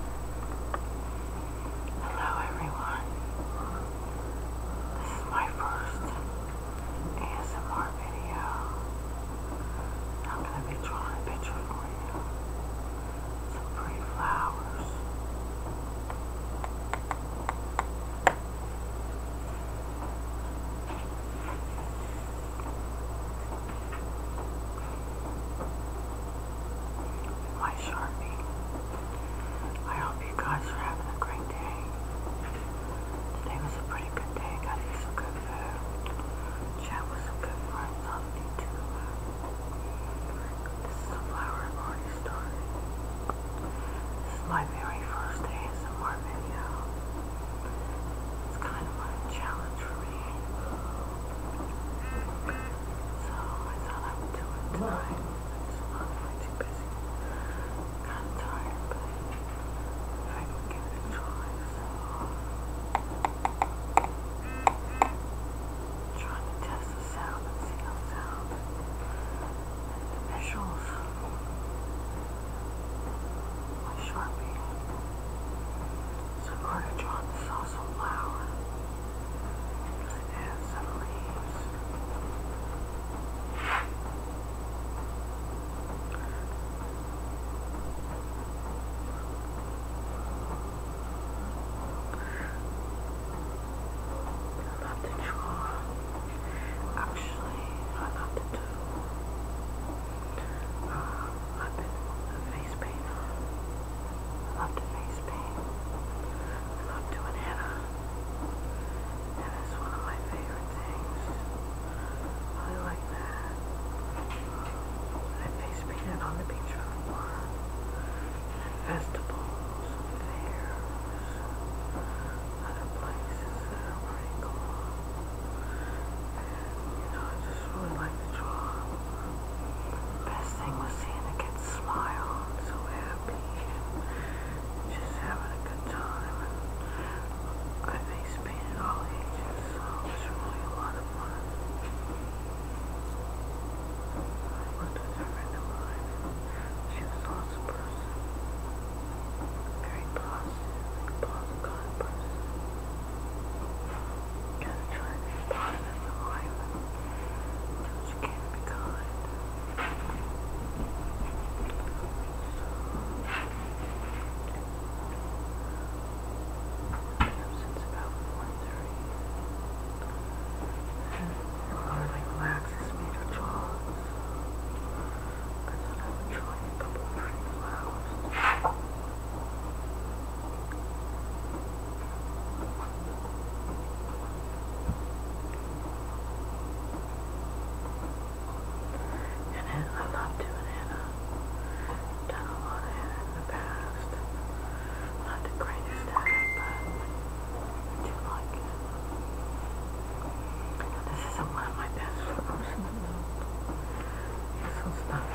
Hello everyone. This is my first ASMR video. I'm going to be drawing a picture for you. Some pretty flowers my Sharpie. I hope you guys are having a great day. Today was a pretty good day. Got some good food. Chat with some good friends on YouTube. This is a flower I've This is my very first ASMR video. It's kind of a challenge for me. So I thought I would do it tonight. It's not too busy. Kind of tired, but I would give it a try. trying to test the sound and see how it sounds. And the visuals. My Sharpie some orange on sauce flour, and some leaves. I'm about to draw. Actually, I'm about to do uh, I've been face paint. I love to face paint. I love doing henna. Henna is one of my favorite things. I like that. I face painted on the beach festivals, fairs, other places you know, I just really like to draw. The best thing was seeing the kids smile and so happy and just having a good time. And I face painted all ages, so it was really a lot of fun. I worked with a friend of mine, she was an awesome person. Very positive, like a positive kind of person. Just trying to start this alignment so she can be good. about 4.30. And it really relaxes me to draw. Because i And I love doing Anna. I've done in the past. Not the greatest at it, but I do like it. This is one of my best photos in the world. This one's not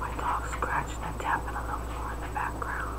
My dog scratched and tapping on the floor in the background.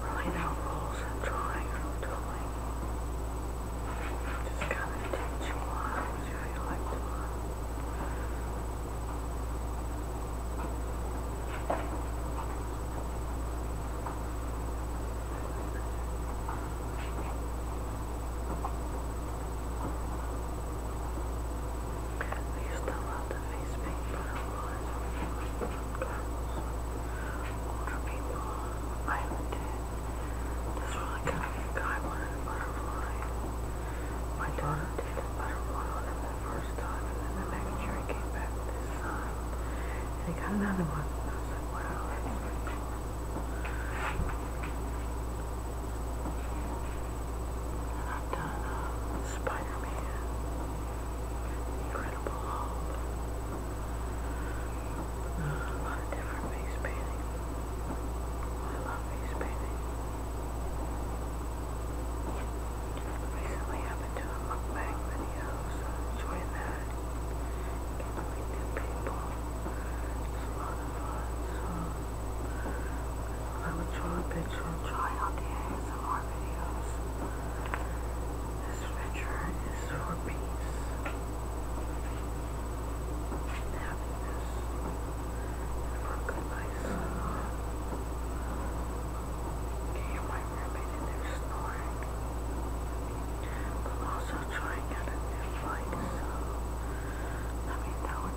Rolling out rolls and drawing and doing. Just kind of teach what you feel like doing. Thank you. I used to love the face paint, but it was older people. I even did this really kind of guy wanted a butterfly. My daughter did a butterfly on him the first time, and then the next year he came back with his son, and he got another one. And I was like, wow, that's pretty cool. I I've done Spider-Man, Incredible Hulk, a lot of different face painting. I love face painting. Recently I've been doing mukbang videos, so that. Getting to meet new people. It's a I would draw a picture and try out the ASMR videos. This venture is for peace and happiness and for a good night's sleep. You can hear my roommate in there snoring. I'm also trying out a new light, so let me know what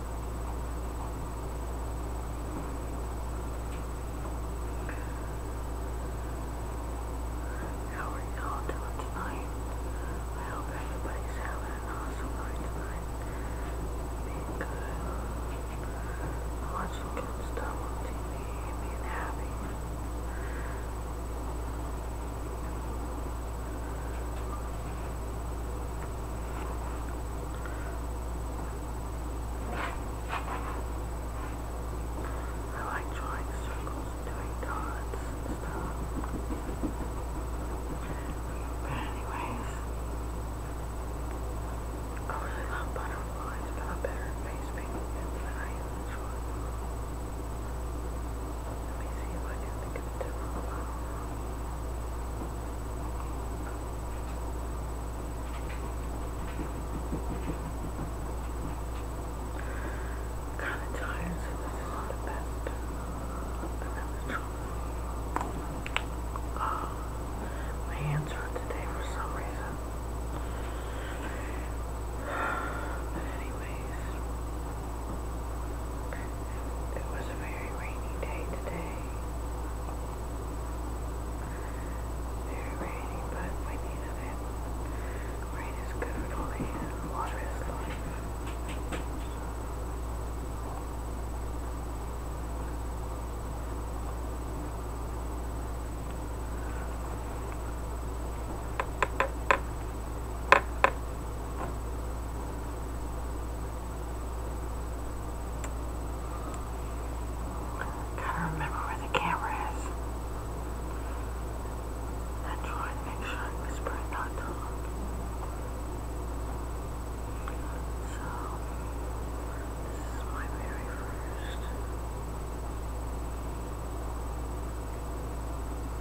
How are y'all doing tonight? I hope everybody's having an awesome night tonight. Being good. Watching good stuff on TV being happy. I like drawing circles, doing dots stuff. But anyways, I really love butterflies, but i better face painting than I am let me see if I can think of a different one. kind of tired, this is not the best. And that was true. my hands hurt today for some reason. But anyway face. It was a very rainy day today. Very rainy, but we needed it. Rain is good for water is life. Gotta remember where the camera is. I try to make sure I whisper and not talk. So, this is my very first.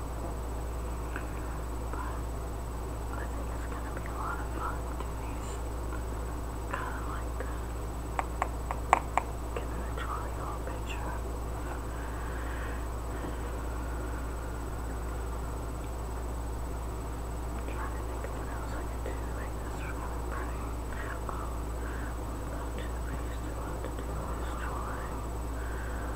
But I think it's gonna be a lot of fun to do these kind of like that. Getting a jolly old picture. trying to think of else I could do like this is really pretty. Um, we've got two ways to, do this drawing.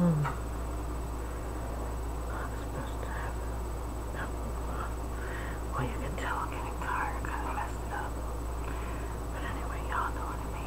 mm. I'm supposed to have hmm. Well, you can tell I'm getting tired, kind of messed up. But anyway, y'all know what it means.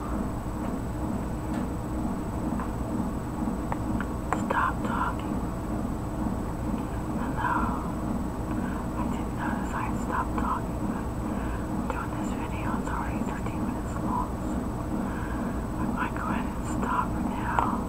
Stop talking. Hello. I didn't notice I had stopped talking, but doing this video is already 13 minutes long, so I might go ahead and stop now.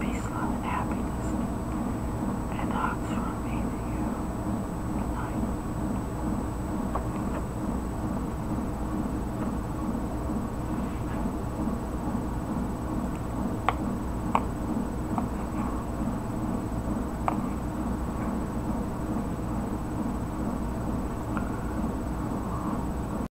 peace, love, and happiness, and hugs from me to you tonight.